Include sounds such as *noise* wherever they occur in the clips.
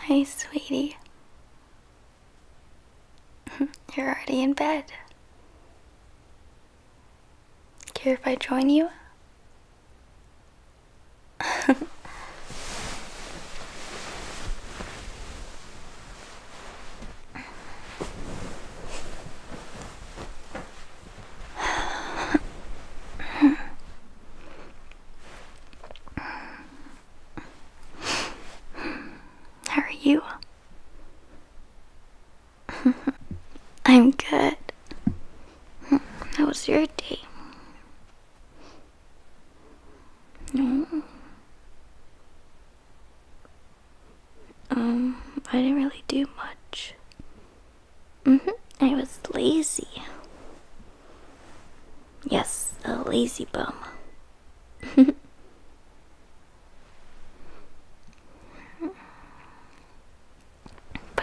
Hi, sweetie. *laughs* You're already in bed. Care if I join you? *laughs* How are you? *laughs* I'm good. How was your day? No. Mm. Um, I didn't really do much. Mm hmm. I was lazy. Yes, a lazy bum. *laughs* but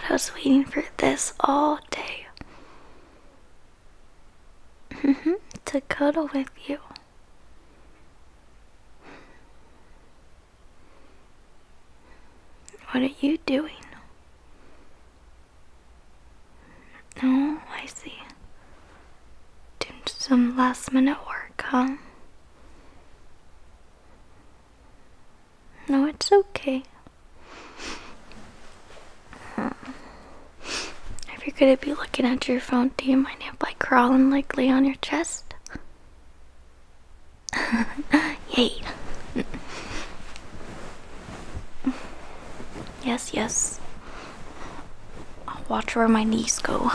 I was waiting for this all day. Mm-hmm. to cuddle with you. What are you doing? No, I see. Doing some last minute work, huh? No, it's okay. If you're gonna be looking at your phone, do you mind if I crawl and lightly on your chest? *laughs* Yay! yes, yes. watch where my knees go.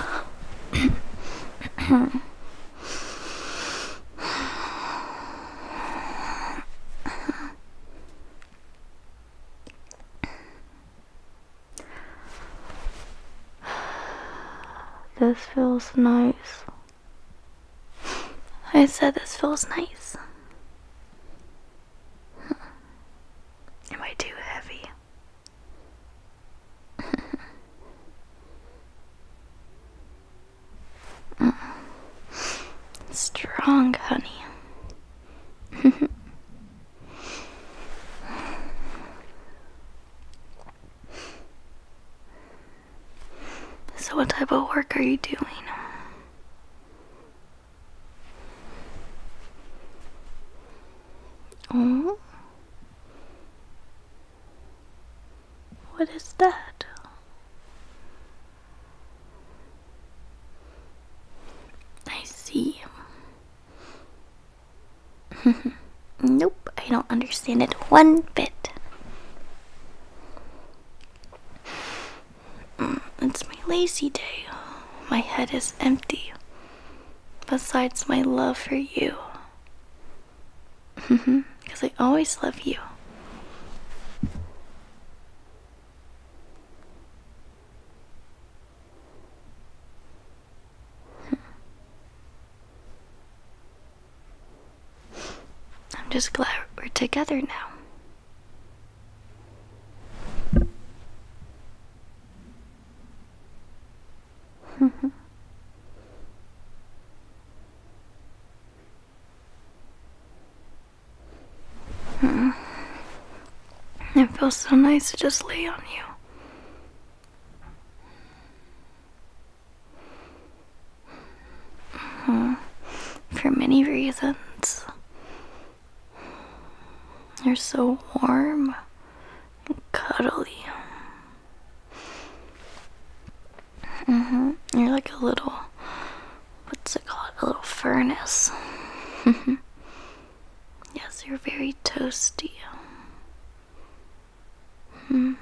*sighs* this feels nice. I said this feels nice. *laughs* Am I too heavy? *laughs* Strong, honey. *laughs* So, what type of work are you doing? Oh, what is that? I see. *laughs* Nope, I don't understand it one bit. Mm, it's my lazy day. My head is empty. Besides my love for you. Because mm-hmm, I always love you. Hmm. I'm just glad we're together now. Mm. *laughs* It feels so nice to just lay on you. For many reasons. You're so warm and cuddly. Mm-hmm. You're like a little, what's it called? A little furnace. *laughs* yes, you're very toasty. Hmm.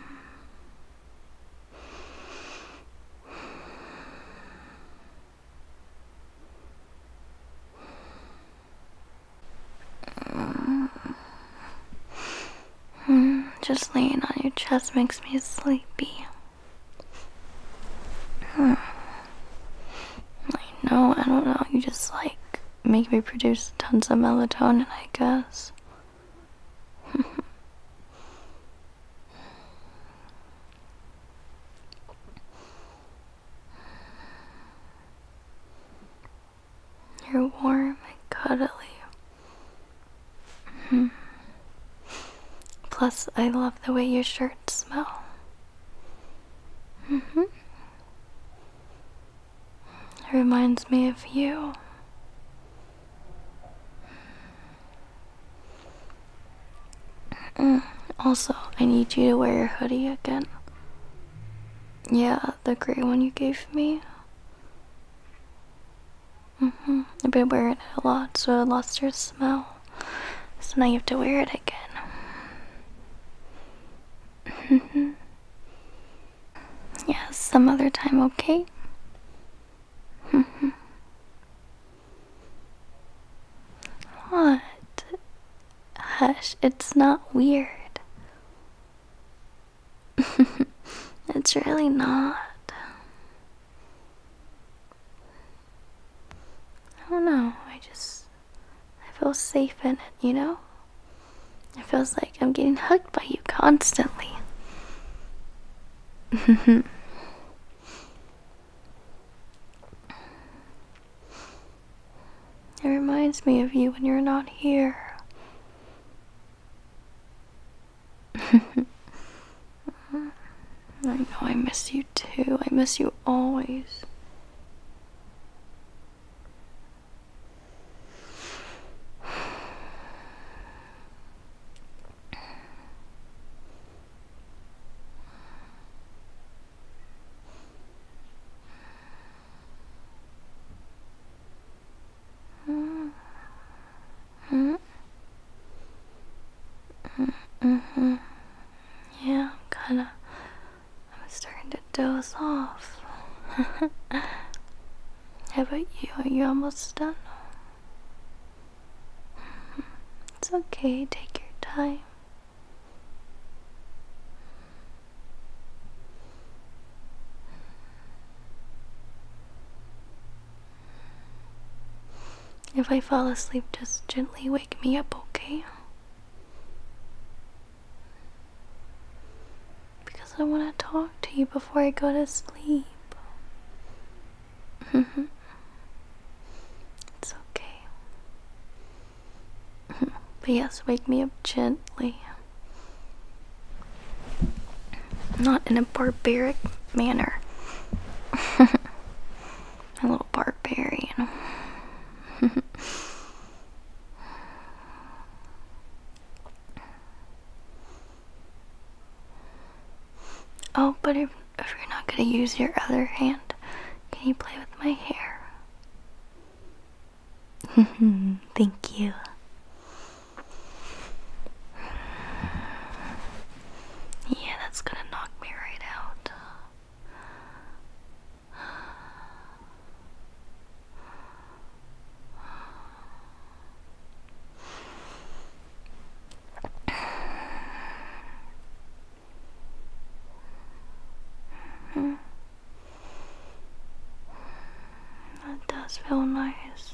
Just laying on your chest makes me sleepy. Hmm. I know, I don't know. You just like make me produce tons of melatonin, I guess. *laughs* You're warm and cuddly. Hmm. Plus, I love the way your shirts smell. Mm-hmm. It reminds me of you. Mm, also, I need you to wear your hoodie again. Yeah, the gray one you gave me. hmm I've been wearing it a lot, so it lost your smell. So now you have to wear it again. *laughs* Mm-hmm. Yes, some other time, okay? *laughs* what? Hush, it's not weird. *laughs* it's really not. I don't know, I just. I feel safe in it, you know? It feels like I'm getting hugged by you constantly. *laughs* It reminds me of you when you're not here. *laughs* I know I miss you too. I miss you always. Mm-hmm. Yeah, I'm kinda I'm starting to doze off. *laughs* How about you? Are you almost done? Mm-hmm. It's okay, take your time. If I fall asleep, just gently wake me up, okay? Because I want to talk to you before I go to sleep. *laughs* it's okay. *laughs* but yes, wake me up gently. Not in a barbaric manner. *laughs* a little barbarian. Oh, but if, you're not going to use your other hand, can you play with my hair? *laughs* Thank you. Yeah, that's gonna knock me right out. That does feel nice.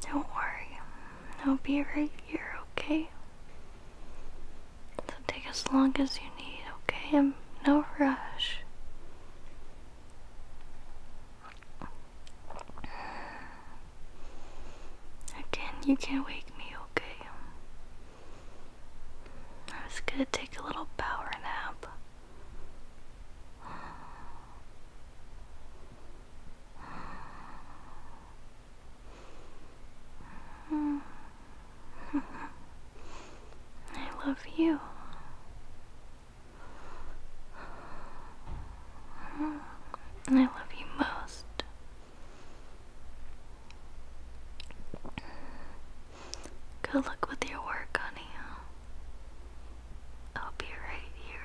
Don't worry, I'll be right here, okay? So take as long as you need, okay? I'm no rush. Again, you can't wake me, okay? I was gonna take a little power nap. *sighs* I love you. *sighs* I love you most. Good luck with your work, honey. I'll be right here.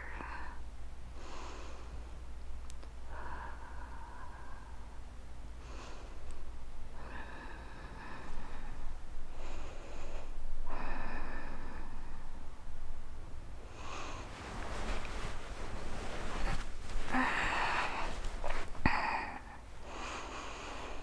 *sighs* *sighs*